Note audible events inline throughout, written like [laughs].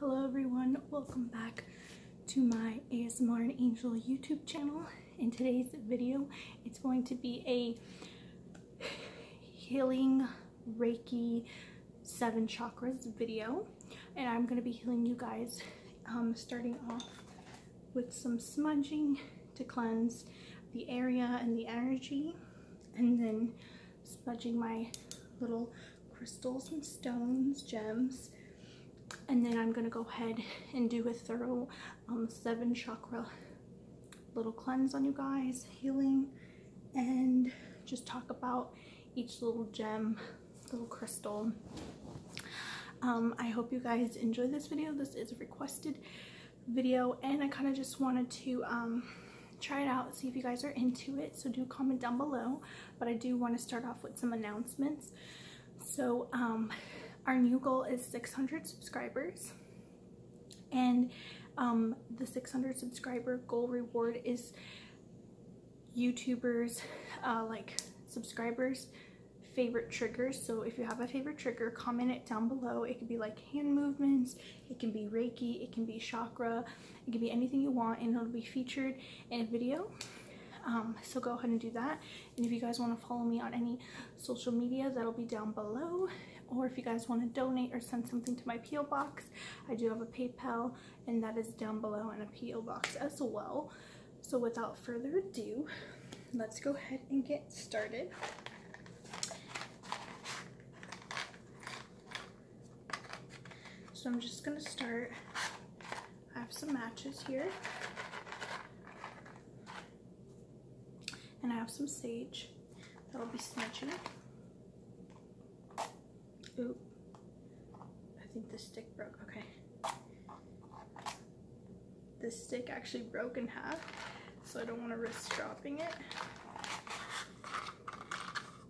Hello everyone, welcome back to my ASMR and Angel YouTube channel. In today's video, it's going to be a healing Reiki 7 chakras video. And I'm going to be healing you guys, um, starting off with some smudging to cleanse the area and the energy and then smudging my little crystals and stones, gems. And then I'm going to go ahead and do a thorough um, seven chakra little cleanse on you guys, healing, and just talk about each little gem, little crystal. Um, I hope you guys enjoy this video. This is a requested video and I kind of just wanted to um, try it out see if you guys are into it so do comment down below but I do want to start off with some announcements so um, our new goal is 600 subscribers and um, the 600 subscriber goal reward is YouTubers uh, like subscribers favorite triggers so if you have a favorite trigger comment it down below it could be like hand movements it can be reiki it can be chakra it could be anything you want and it'll be featured in a video. Um, so go ahead and do that. And if you guys want to follow me on any social media, that'll be down below. Or if you guys want to donate or send something to my P.O. box, I do have a PayPal and that is down below and a P.O. box as well. So without further ado, let's go ahead and get started. So I'm just gonna start. I have some matches here. And I have some sage that'll be smudging. Oop. I think the stick broke. Okay. The stick actually broke in half, so I don't want to risk dropping it.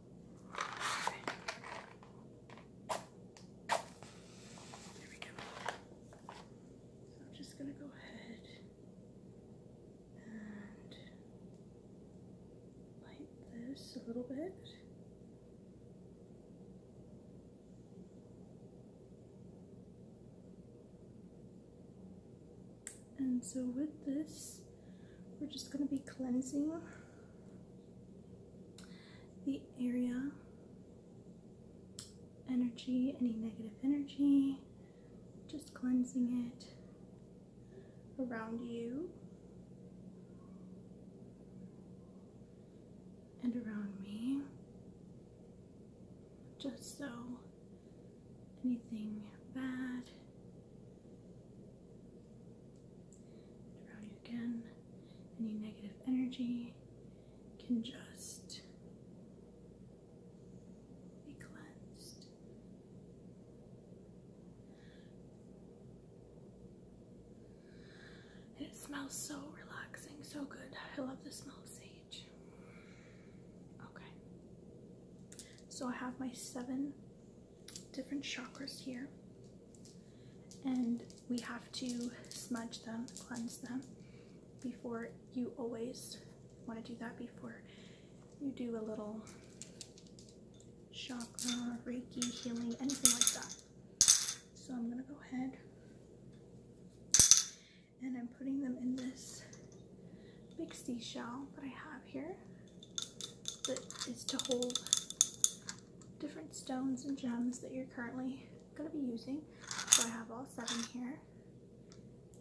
I'm just going to go ahead and light this a little bit. And so with this, we're just going to be cleansing the area, energy, any negative energy, just cleansing it around you and around me, just so anything bad around you again. Any negative energy can just be cleansed. And it smells so relaxing, so good. I love the smell of sage. Okay. So I have my seven different chakras here and we have to smudge them, cleanse them before you always want to do that before you do a little chakra, reiki, healing, anything like that. So I'm going to go ahead and I'm putting them in this big seashell that I have here that is to hold different stones and gems that you're currently going to be using. So I have all seven here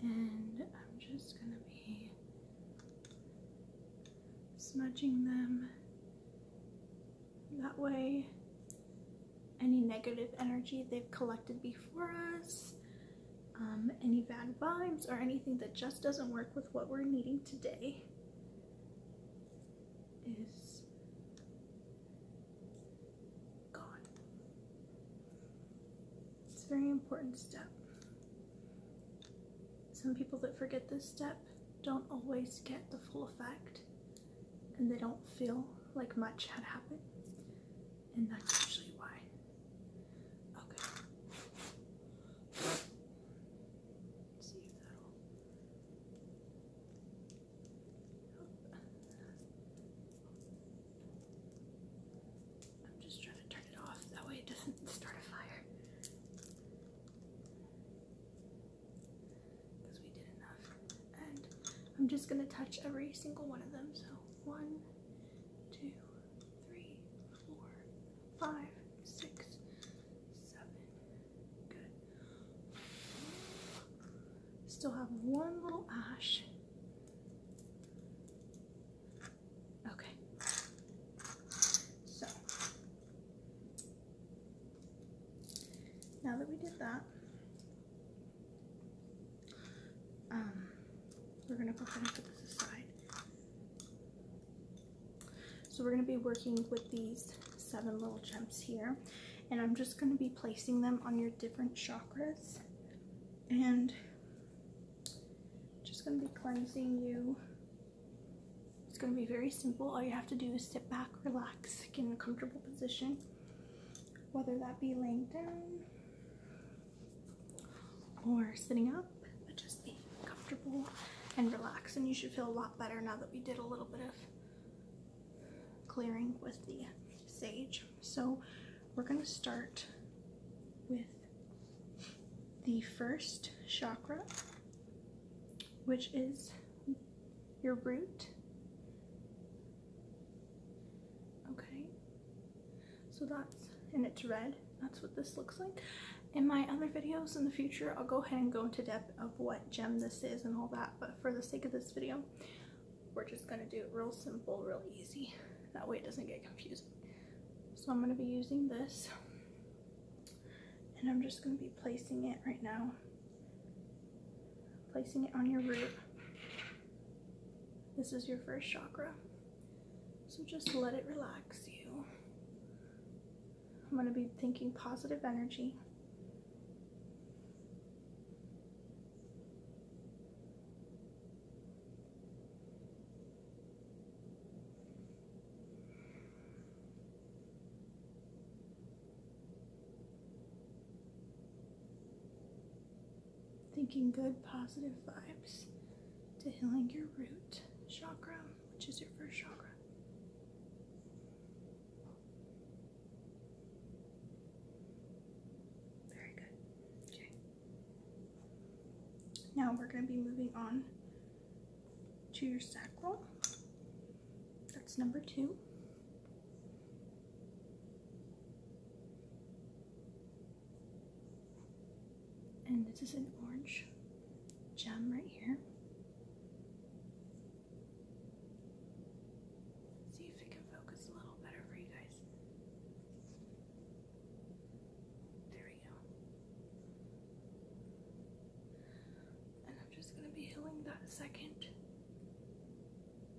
and I'm just going to be smudging them that way any negative energy they've collected before us um, any bad vibes or anything that just doesn't work with what we're needing today is gone. It's a very important step. Some people that forget this step don't always get the full effect and they don't feel like much had happened and that's usually why Okay. see if that'll. I'm just trying to turn it off, that way it doesn't [laughs] start a fire. Because we did enough. And I'm just going to touch every single one of them. So, one, two, three, four, five, six, seven. Good. Still have one little ash. Okay. So now that we did that, um, we're gonna go ahead and put this aside. So we're gonna be working with these seven little gems here, and I'm just gonna be placing them on your different chakras, and just gonna be cleansing you. It's gonna be very simple. All you have to do is sit back, relax, get in a comfortable position, whether that be laying down or sitting up, but just be comfortable and relaxed. And you should feel a lot better now that we did a little bit of clearing with the sage. So we're going to start with the first chakra, which is your root. Okay. So that's, and it's red, that's what this looks like. In my other videos in the future, I'll go ahead and go into depth of what gem this is and all that, but for the sake of this video, we're just gonna do it real simple, real easy. That way it doesn't get confusing. So I'm gonna be using this, and I'm just gonna be placing it right now. Placing it on your root. This is your first chakra. So just let it relax you. I'm going to be thinking positive energy thinking good positive vibes to healing your root chakra, which is your first chakra. Very good. Okay. Now we're going to be moving on to your sacral. That's number two. And this is an orange gem right here. see if it can focus a little better for you guys. There we go. And I'm just going to be healing that second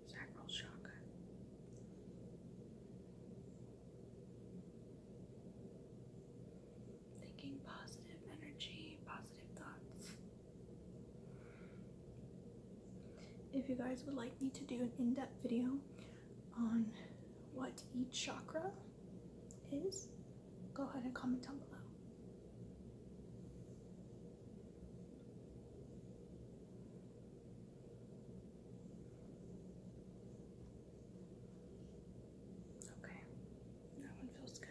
sacral chakra. Thinking positive energy, positive thoughts. If you guys would like me to do an in depth video on what each chakra is, go ahead and comment down below. Okay, that one feels good.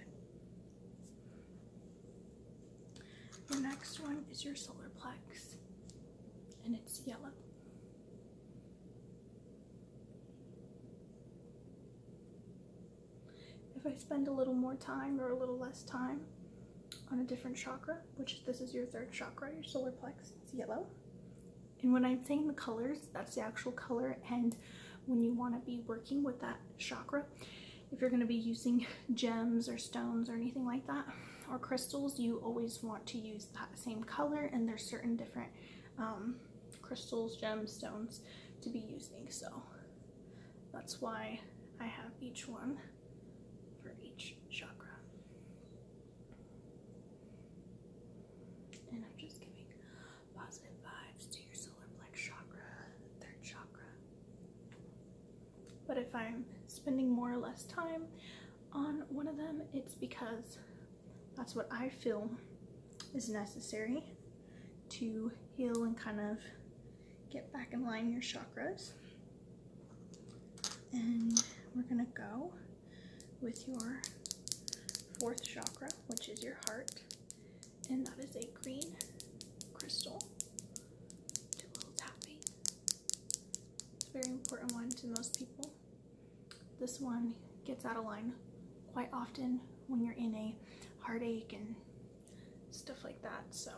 The next one is your solar plex, and it's yellow. If I spend a little more time or a little less time, on a different chakra, which this is your third chakra, your solar plexus, it's yellow. And when I'm saying the colors, that's the actual color. And when you want to be working with that chakra, if you're going to be using [laughs] gems or stones or anything like that, or crystals, you always want to use that same color. And there's certain different um, crystals, gems, stones to be using. So that's why I have each one for each chakra. And I'm just giving positive vibes to your solar plex chakra, third chakra. But if I'm spending more or less time on one of them, it's because that's what I feel is necessary to heal and kind of get back in line your chakras. And we're gonna go with your fourth chakra, which is your heart. And that is a green crystal. Do a little tapping. It's a very important one to most people. This one gets out of line quite often when you're in a heartache and stuff like that. So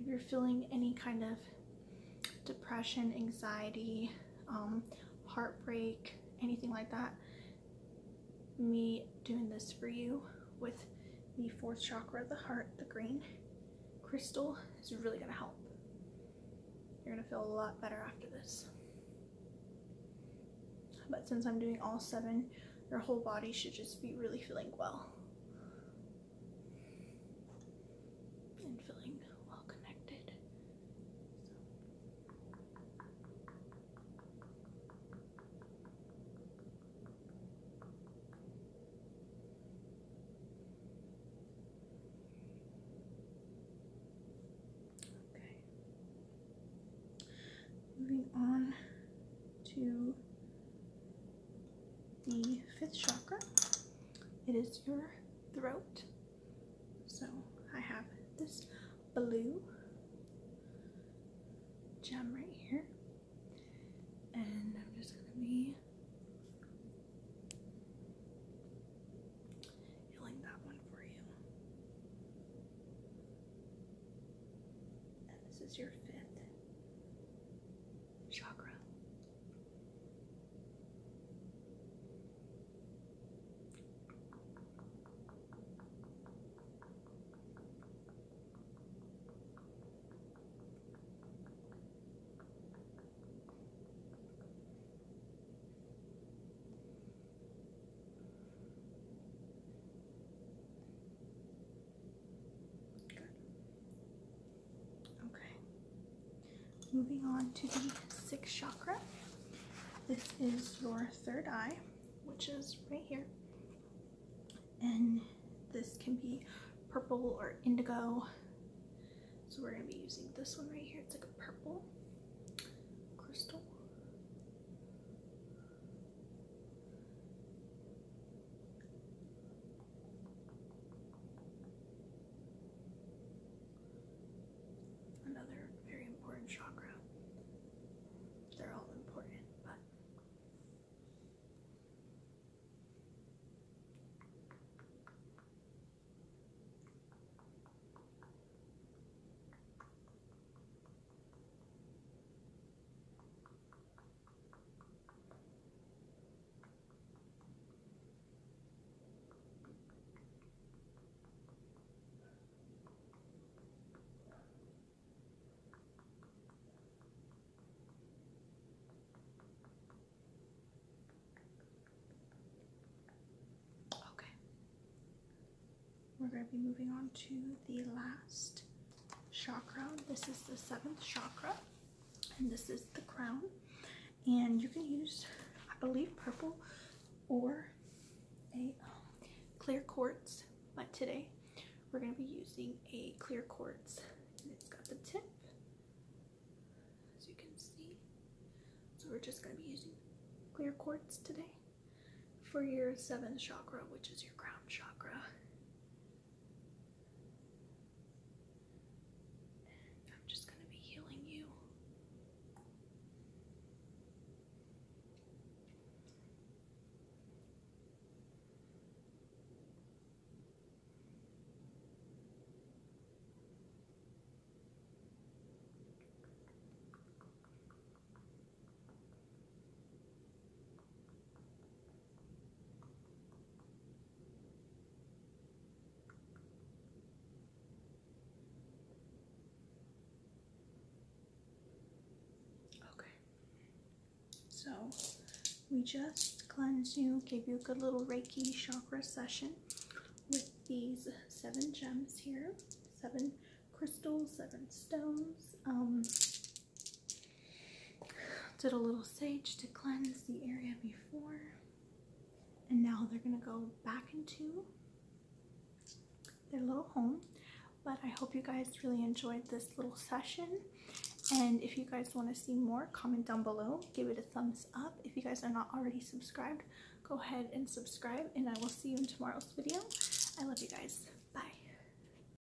if you're feeling any kind of depression, anxiety, um, heartbreak, anything like that, me doing this for you with the fourth chakra, the heart, the green crystal is really going to help. You're going to feel a lot better after this. But since I'm doing all seven, your whole body should just be really feeling well and feeling well connected. Okay. Moving on to the fifth chakra. It is your throat. So I have this blue gem right here. And I'm just going to be healing that one for you. And this is your fifth chakra. Good. Okay. Moving on to the sixth chakra. This is your third eye, which is right here. And this can be purple or indigo. So we're going to be using this one right here. It's like a purple crystal. Another very important chakra. They're all important, but Okay. We're going to be moving on to the last chakra. This is the seventh chakra, and this is the crown. And you can use, I believe, purple or a um, clear quartz. But today, we're going to be using a clear quartz, and it's got the tip, as you can see. So we're just going to be using clear quartz today for your seventh chakra, which is your crown chakra. And I'm just going to be healing you. Okay, so we just cleanse you, gave you a good little Reiki chakra session with these seven gems here, seven crystals, seven stones. Um, did a little sage to cleanse the area before. And now they're going to go back into their little home. But I hope you guys really enjoyed this little session. And if you guys want to see more, comment down below. Give it a thumbs up. If you guys are not already subscribed, go ahead and subscribe. And I will see you in tomorrow's video. I love you guys. Bye.